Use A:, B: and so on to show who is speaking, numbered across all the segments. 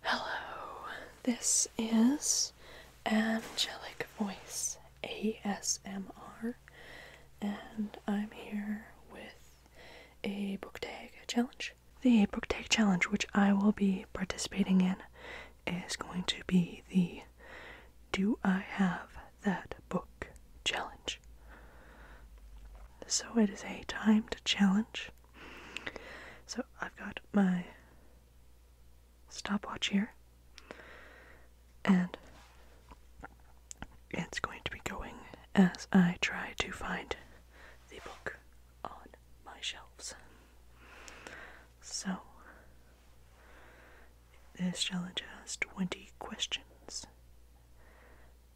A: Hello, this is Angelic Voice ASMR, and I'm here with a book tag challenge. The book tag challenge, which I will be participating in, is going to be the Do I Have That Book challenge. So it is a timed challenge so I've got my stopwatch here, and it's going to be going as I try to find the book on my shelves. So, this challenge has 20 questions.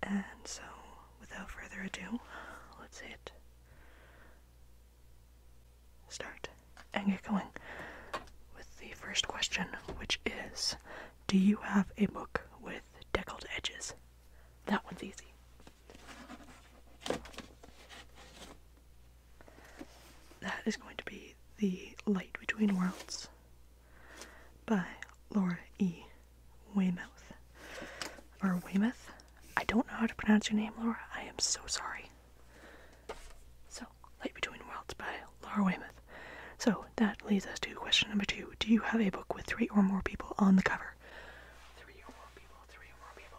A: And so, without further ado, let's hit start and get going with the first question, which is Do you have a book with deckled edges? That one's easy. That is going to be The Light Between Worlds by Laura E. Weymouth. Or Weymouth? I don't know how to pronounce your name, Laura. I am so sorry. So, Light Between Worlds by Laura Weymouth. So, that leads us to question number two. Do you have a book with three or more people on the cover? Three or more people, three or more people.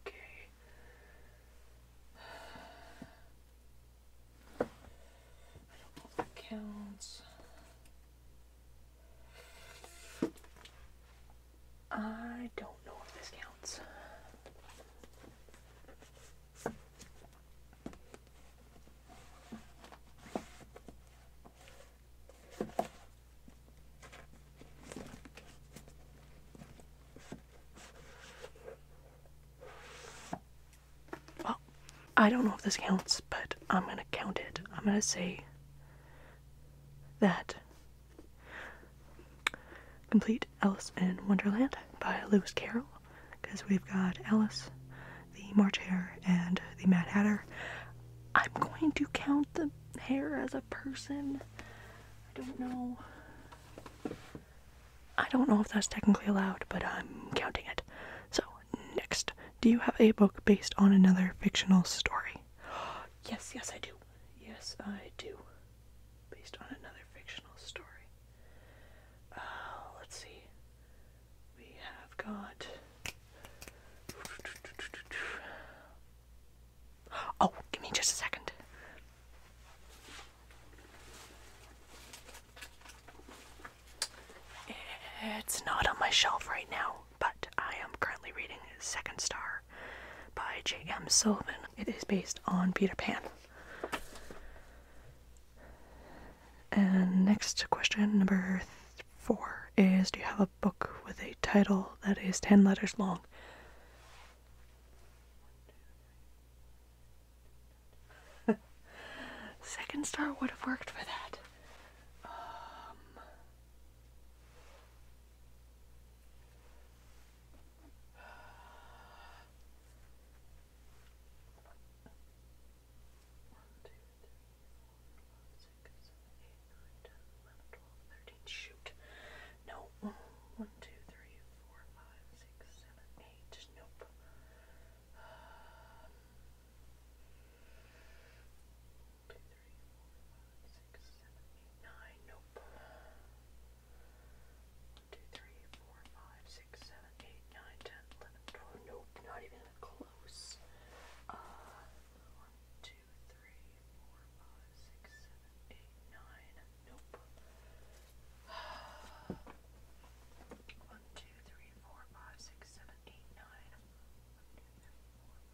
A: Okay. that counts. I don't know if this counts. Well, I don't know if this counts, but I'm gonna count it. I'm gonna say that complete Alice in Wonderland by Lewis Carroll because we've got Alice, the March Hare, and the Mad Hatter. I'm going to count the hare as a person. I don't know. I don't know if that's technically allowed, but I'm counting it. So, next, do you have a book based on another fictional story? yes, yes, I do. Yes, I do. Based on another fictional story. Uh, let's see. We have got. Oh, give me just a second. It's not on my shelf right now but I am currently reading Second Star by J.M. Sullivan. It is based on Peter Pan. And next question, number four, is Do you have a book with a title that is 10 letters long? Second Star would have worked for that. Um, one, two, three, four, five, six, seven, eight, nine, ten, eleven, twelve, thirteen. Shoot. No. One, two, three, four, five, six, seven, eight. Nope two, three, four, five, six, seven, eight, nine. Nope. One, two, three, four, five, six, seven, eight, nine, ten, eleven, twelve. Nope, not even close. Uh, one, two, three, four, five, six, seven, eight, nine. Nope. One, two, three, four, five, six, seven, eight, nine. One, two, three, four,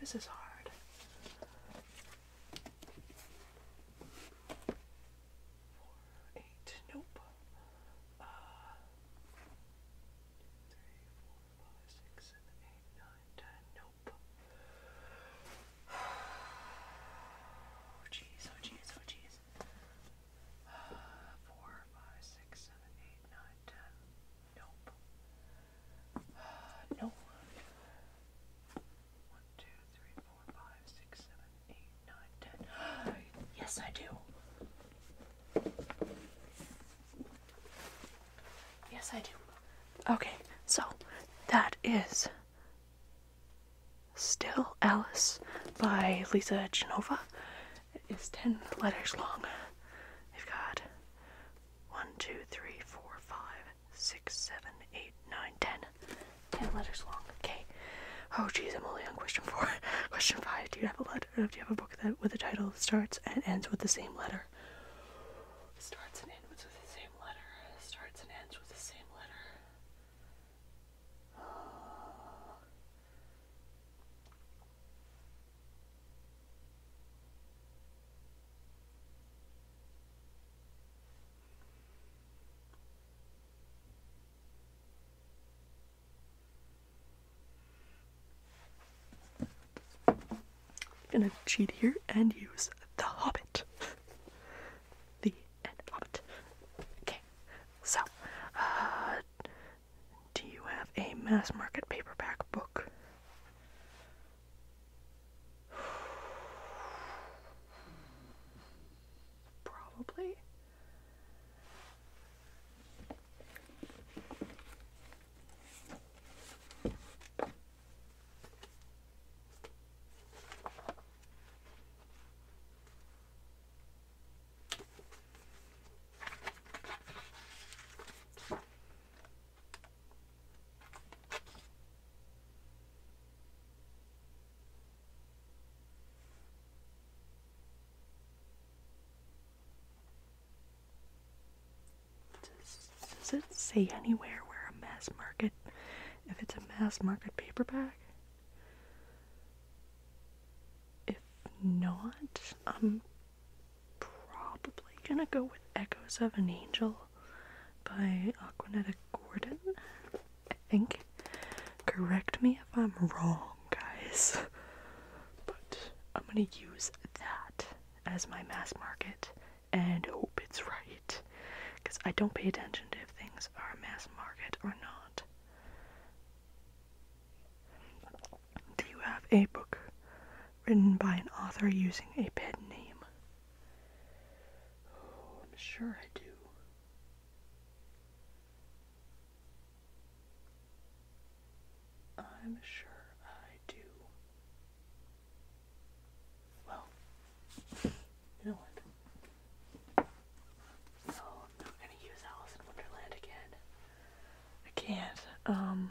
A: This is hard. Four, eight, nope. Uh, two, three, four, five, six, seven, eight, nine, ten, nope. Oh jeez, oh jeez, oh jeez. Uh, four, five, six, seven, eight, nine, ten, nope. no. One, two, three, four, five, six, seven, eight, nine, ten. yes, I do. Yes, I do. Okay, so that is Still Alice by Lisa Genova. It is 10 letters long. We've got one, two, three, four, five, six, seven, eight, nine, ten. Ten letters long. Okay. Oh geez, I'm only on question four. question five. Do you have a letter? Do you have a book that with a title that starts and ends with the same letter? Starts and ends with the same letter. Starts and ends with the same letter. Uh, I'm gonna cheat here and use The Hobbit. the Hobbit. Okay, so, uh, do you have a mass market paperback book? Probably. Does, it say anywhere where a mass market, if it's a mass market paperback? If not, I'm um, probably gonna go with Echoes of an Angel by Aquanetta Gordon. I think. Correct me if I'm wrong, guys. But I'm gonna use that as my mass market and hope it's right. Because I don't pay attention to if things are mass market or not. Do you have a book written by an author using a pen name? Oh, I'm sure I do. I'm sure I do. Well, you know what? No, I'm not gonna use Alice in Wonderland again. I can't. Um,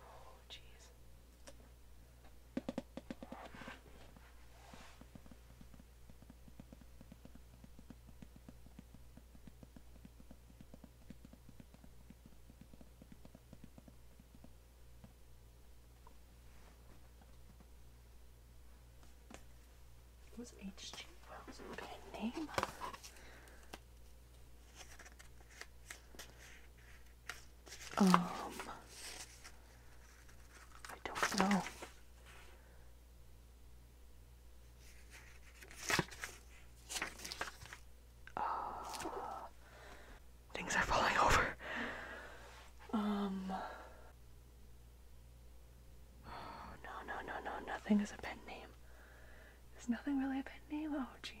A: Oh, jeez. was H.G. Wells. What a name. Um, I don't know. Uh, things are falling over. Um, oh, no, no, no, no, nothing is a pen name. There's nothing really a pet name. Oh, jeez.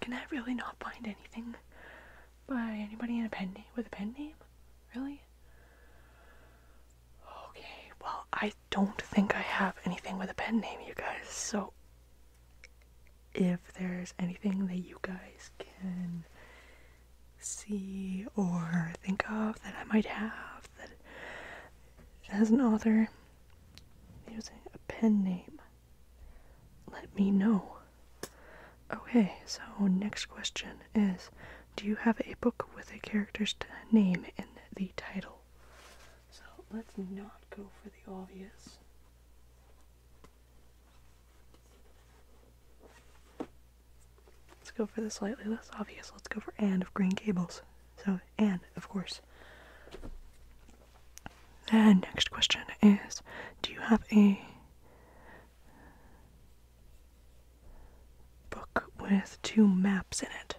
A: Can I really not find anything by anybody with a pen name? Really? Okay, well, I don't think I have anything with a pen name, you guys, so if there's anything that you guys can see or think of that I might have that has an author using a pen name let me know. Okay, so next question is Do you have a book with a character's name in the title? So let's not go for the obvious. Let's go for the slightly less obvious. Let's go for "And of Green Cables." So, and of course. The next question is Do you have a book with two maps in it?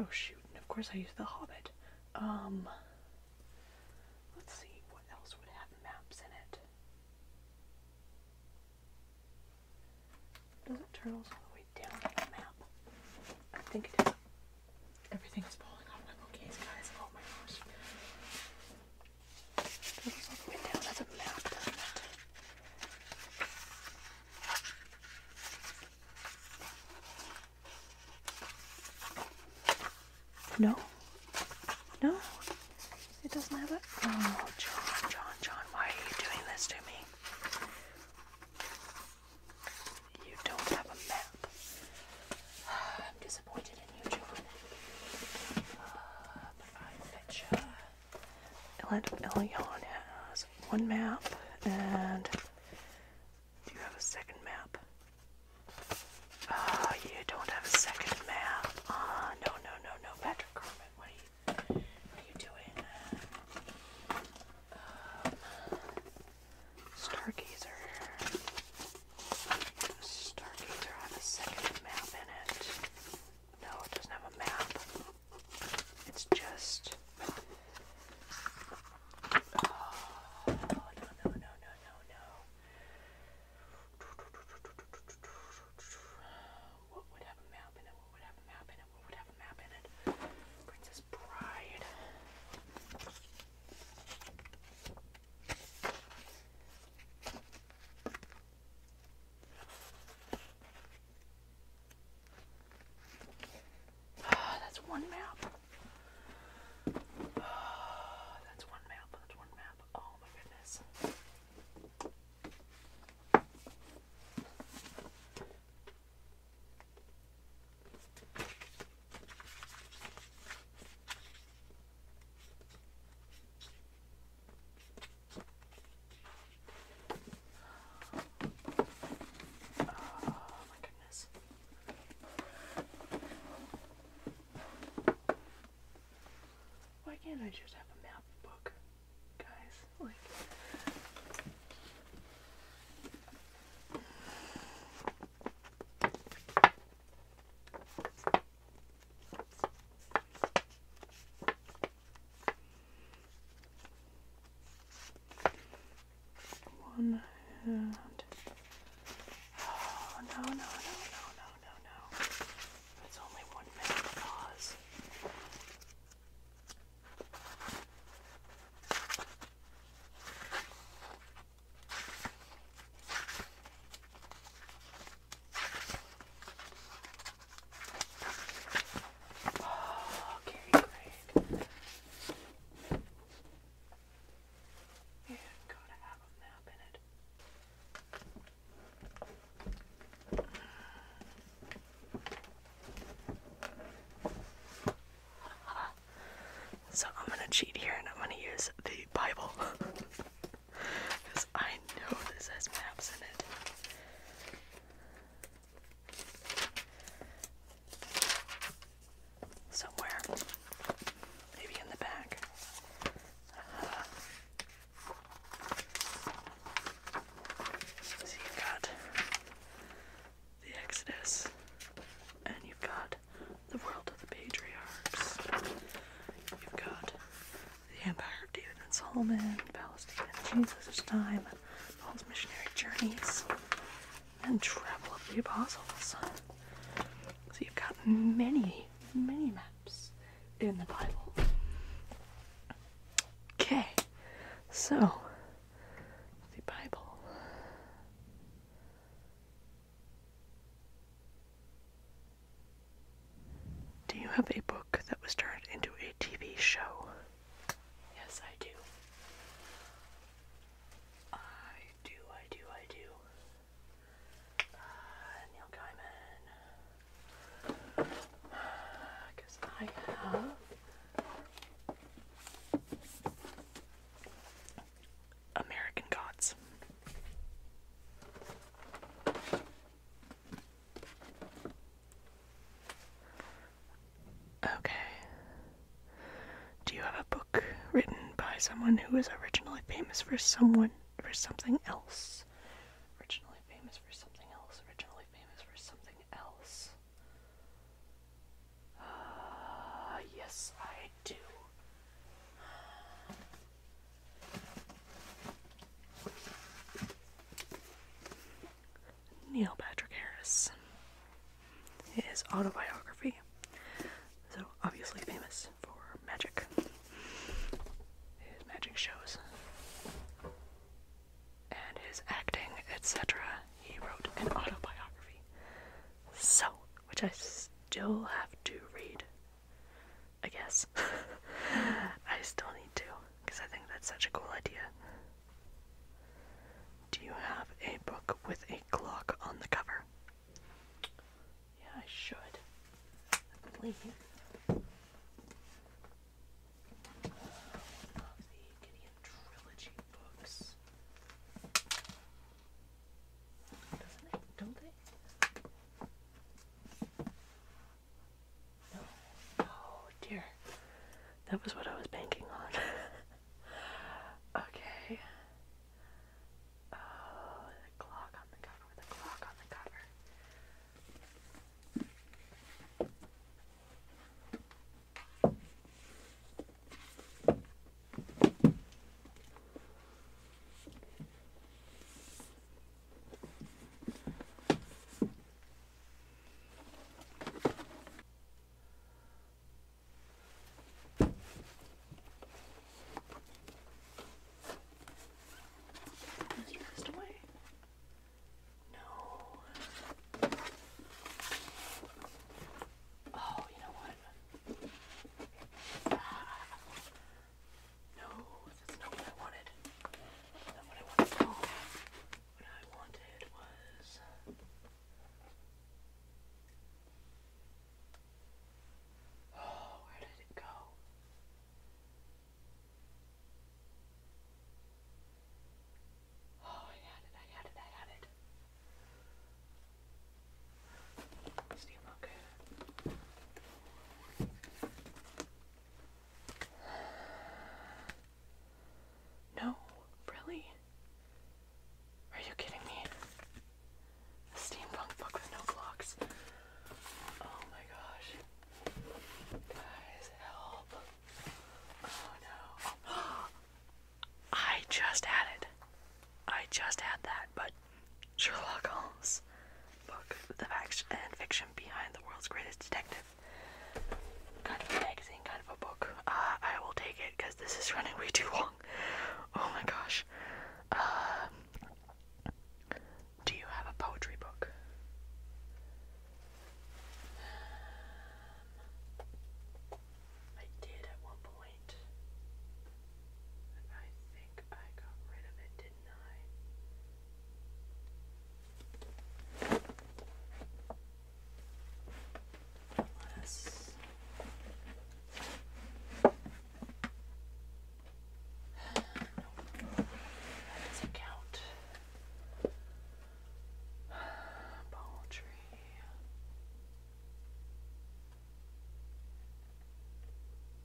A: Oh, shoot. of course, I use The Hobbit. Um, let's see, what else would have maps in it? Does it turtles all the way down on the map? I think it is. Everything's falling off my bookcase, guys. Oh my gosh. No. No. It doesn't have it. Oh, John, John, John, why are you doing this to me? you don't have a map. I'm disappointed in you, John. Uh, has one map, and do you have a second map? Oh, you don't have a second map. Ah, no, no, no, no, Patrick Carmen, what are you, doing? Um, Stargazer. Stargazer on the second map in it. No, it doesn't have a map. It's just. Oh, no, no, no, no, no, no. What would have a map in it? What would have a map in it? What would have a map in it? Princess Bride. Oh, that's one map. Oh, that's one map. That's one map. Oh my goodness. Oh my goodness. Why can't I just have a map book, guys? Like one hand. Oh, no, no, no, no, no, no, no. It's only one minute pause. Oh, okay, great. Yeah, go to album now, Bennett. So I'm gonna cheat here and I'm gonna use the Bible. I know this has maps in it. Somewhere. Maybe in the back. Uh-huh. so you've got the Exodus, and you've got the World of the Patriarchs. You've got the Empire of David and Solomon, Palestine and Jesus' time, Paul's missionary journeys, and travel of the apostles. So you've got many, mini maps in the Bible. Okay, so the Bible. Do you have a book that was turned into a TV show? Yes, I do. I do, I do, uh, Neil Gaiman. Because uh, I have American Gods. Okay. Do you have a book written by someone who was originally famous for someone for something else? Originally famous for something else. Originally famous for something else. Uh, yes, I Neil Patrick Harris. is autobiography. So obviously famous for magic. His magic shows. And his acting, etc. He wrote an autobiography. So, which I still have to read. I guess. I still need to, because I think that's such a cool idea. Do you have a book with a clock on the cover? Yeah, I should. I believe. Doesn't it? Don't they? No. Oh dear. That was what I was banking on. okay. Oh, the clock on the cover, the clock on the cover. Has he passed away? No. Oh, you know what? No, that's not what I wanted. That's not what I wanted What I wanted was Oh, where did it go? Oh, I had it, I had it, I had it. Steamlocker. No, really? Are you kidding me? steampunk book with no clocks. Oh my gosh. Guys, help. Oh no. I just had it. I just had that, but Sherlock Holmes book, the facts and fiction behind the world's greatest detective. Kind of a magazine, kind of a book. Uh, I will take it because this is running way too long. Oh my gosh. Um, do you have a poetry book? Um, I did at one point point. And I think I got rid of it, didn't I? Unless nope. That doesn't count. Poultry.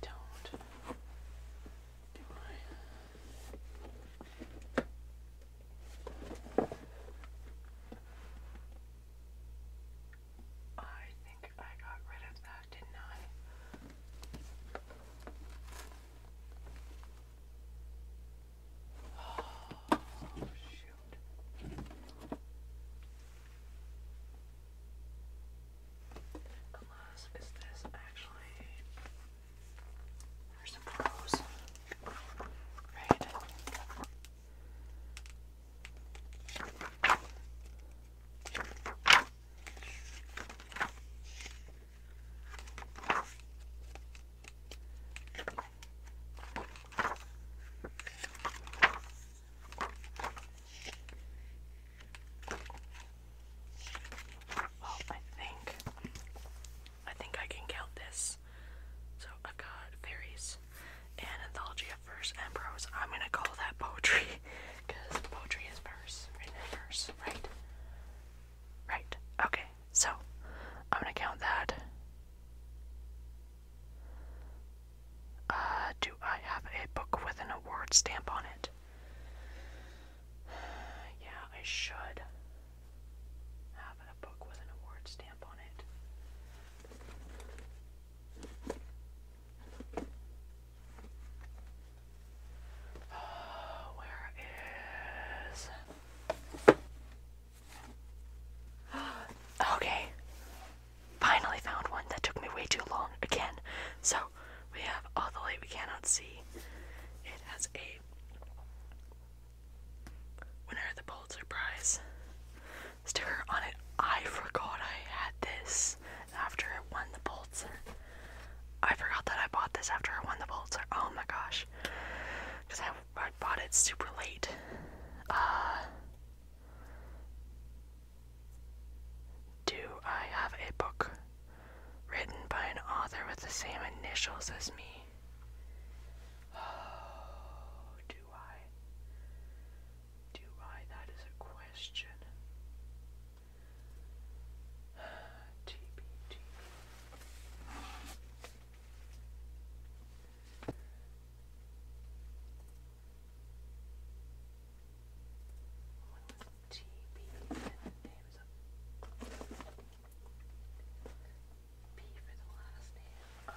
A: don't. Do I think I got rid of that, didn't I? Oh, shoot. Unless, is this actually. There's some pros. Right? Well, I think I think I can count this. So i got fairies and anthology of verse and prose. I'm gonna call that poetry because poetry is verse, written in verse, right? Right. Okay. So I'm gonna count that. Uh, do I have a book with an award stamp on it? Yeah, I should have a book with an award stamp on it. where is. Okay, finally found one that took me way too long again. So we have all the light we cannot see. It has a winner of the Pulitzer Prize sticker on it. I forgot I had this after it won the Pulitzer. I forgot that I bought this after I won the bolts. Oh my gosh. Because I, I bought it super late. Uh, do I have a book written by an author with the same initials as me? Oh, do I? Do I? That is a question. TBT. When was TB? Name is up. P for the last name.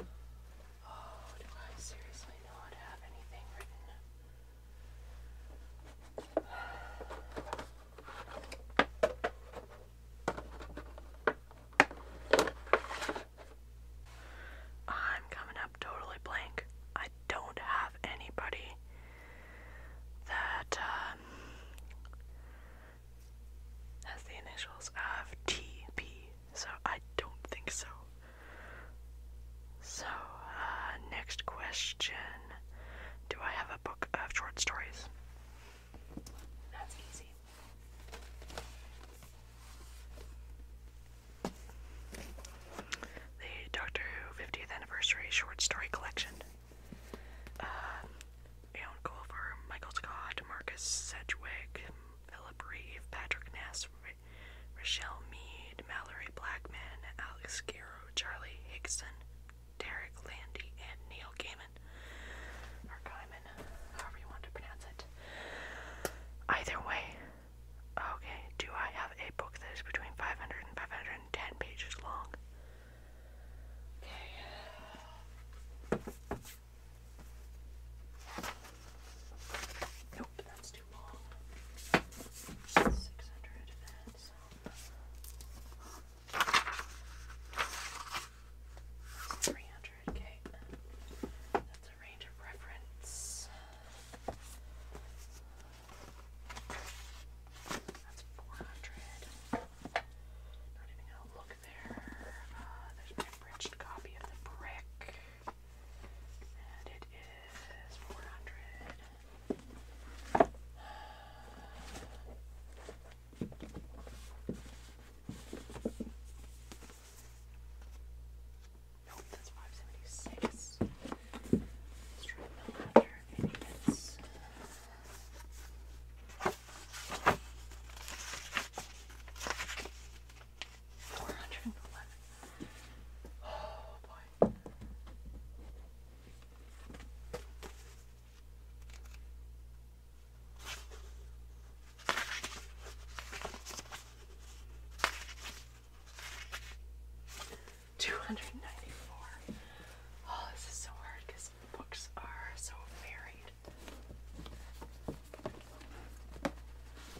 A: Oh, do I seriously not have anything written? I'm coming up totally blank. I don't have anybody that um, has the initials of TP, so I don't think so. So, uh, next question Do I have a book of short stories? That's easy. The Doctor Who 50th Anniversary Short Story Collection. Um, Aaron Glover, Michael Scott, Marcus Sedgwick, Philip Reeve, Patrick Ness, Ra Mead, Mallory Blackman, Alex Garrow, Charlie Higson, Derek Landy, and Neil Gaiman. Or Gaiman, however you want to pronounce it. Either way, okay, do I have a book that is between 500 and 510 pages long? Okay. Nope, that's too long. 600 300, okay. That's a range of preference. That's 400. Not even gonna look there. Uh, there's my abridged copy of the brick, and it is 400. Nope, that's 576. Let's try the Four hundred and eleven. Oh boy. Two hundred ninety-four. Oh, this is so hard because books are so varied.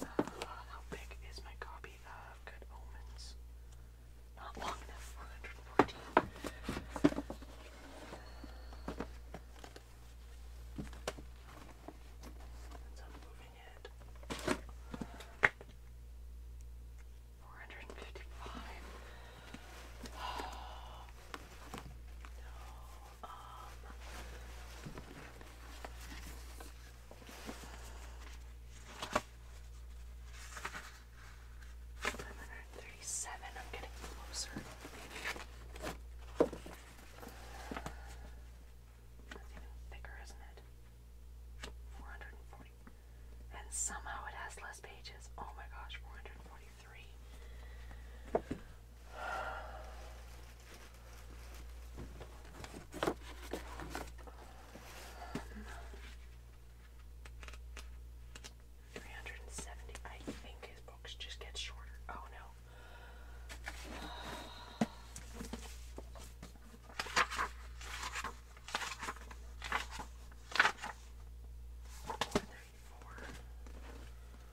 A: Uh, how big is my copy of Good Omens? Not long enough, 114. That's I'm moving it. 455. Oh, no um, i I'm getting closer. That's even thicker, isn't it? Four hundred and forty. And somehow it has less pages. Oh my gosh, four hundred and forty-three. 370. I think his books just get shorter. Oh no. Four,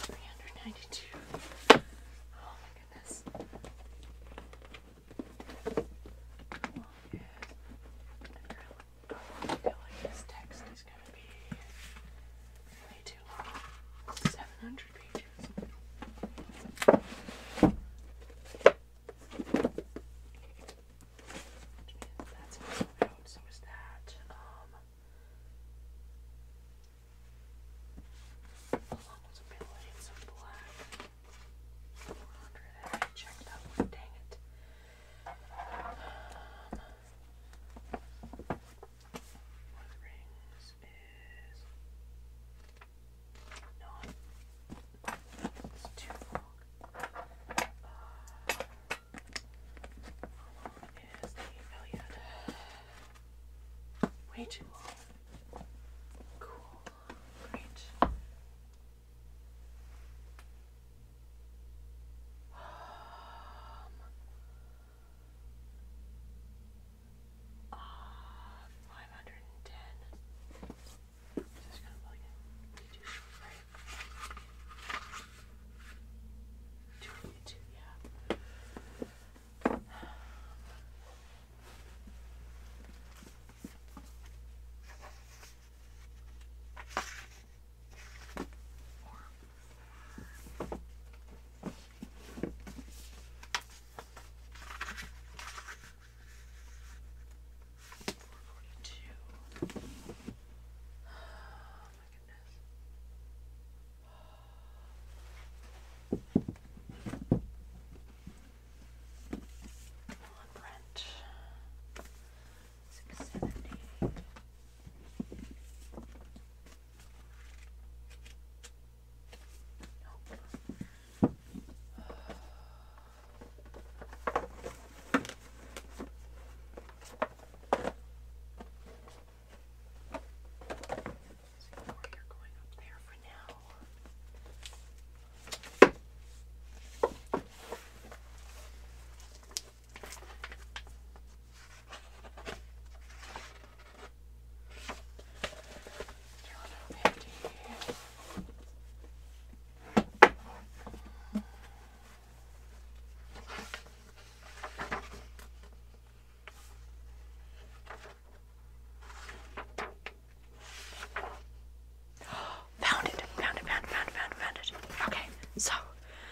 A: 392. Oh my goodness. I feel like this text is going to be way too long. 700 pages that's moving out, so is that. Um, along with some pale some black. 400, checked that dang it. Um, one of is. Not it's too long. how long is the Elliot? Way too long. Cool. Great. Um, uh, 510. Just gonna plug in. Be too short, right? Two twenty-two, yeah. Four. 442. Oh my goodness. Come on, Brent. 678. Nope. Uh, so you're going up there for now. Two hundred fifty. Found it, found it, found it, found it, found it, Okay, so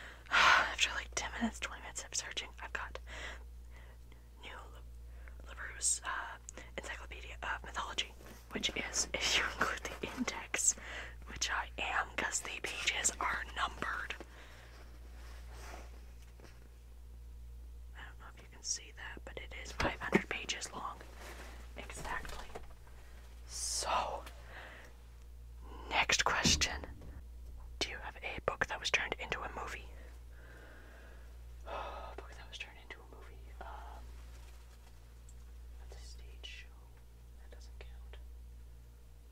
A: after like 10 minutes, 20 minutes of searching, I've got New LaRue's uh, Encyclopedia of Mythology which is if you include the index, which I am because the pages are numbered. I don't know if you can see that, but it is 500 pages long. Exactly. So, next question Do you have a book that was turned into a movie? book that was turned into a movie. Um, that's a stage show. That doesn't count.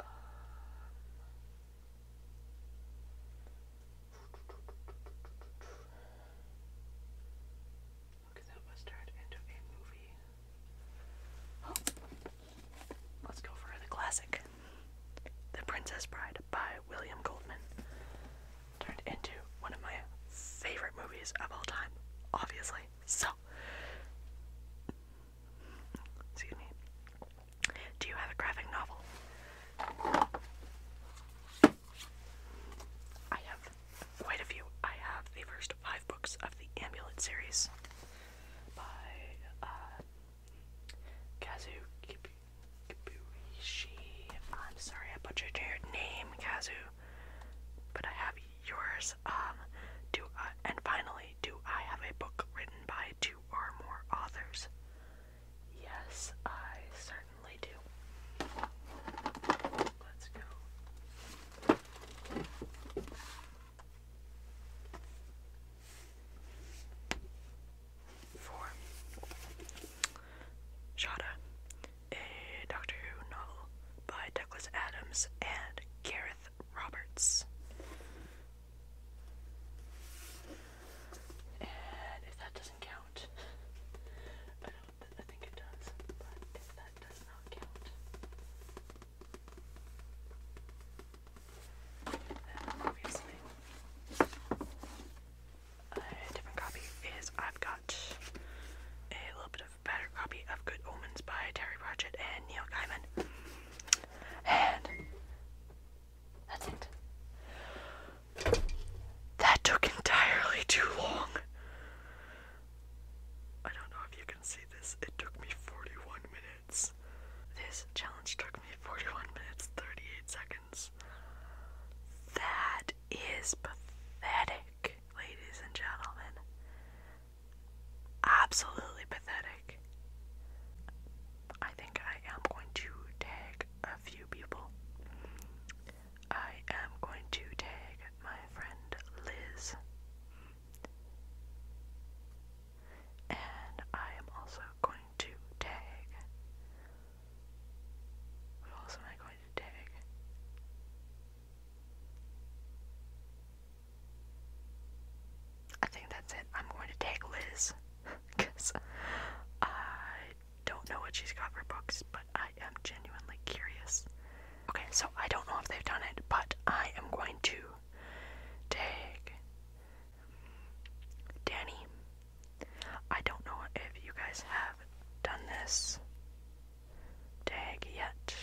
A: Um, okay, that was turned into a movie. Oh, let's go for the classic. The Princess Bride by William Goldman. Turned into one of my favorite movies of all time, obviously. So, excuse me. Do you have a graphic novel? I have quite a few. I have the first five books of the Amulet series by uh, Kazu Kibuishi. I'm sorry I butchered your name, Kazu but I have yours. Um, do and finally, do I have a book written by two or more authors? Yes, I certainly do. Let's go. Four. Shada a eh, Doctor Who novel by Douglas Adams and Gareth Roberts. And if that doesn't count, I don't I think it does, but if that does not count, obviously a different copy is I've got a little bit of better copy of Good Omens by Terry Pratchett and Neil Gaiman. And that's it. That took entirely too long. I don't know if you can see this. It took me 41 minutes. This challenge took me 41 minutes 38 seconds. That is pathetic, ladies and gentlemen absolutely pathetic. I think I am going to tag a few people. I am going to tag my friend Liz. And I am also going to tag. What else am I going to tag? I think that's it. I'm going to tag Liz because I don't know what she's got for books, but I am genuinely curious. Okay, so I don't know if they've done it, but I am going to tag Danny. I don't know if you guys have done this tag yet.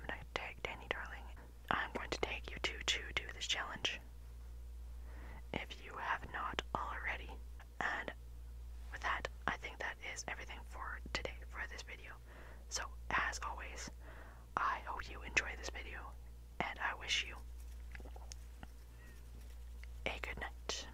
A: I'm going to tag Danny Darling. I'm going to tag you two to do this challenge if you have not already. And with that, I think that is everything for today for this video. So, as always, I hope you enjoy this video and I wish you a good night.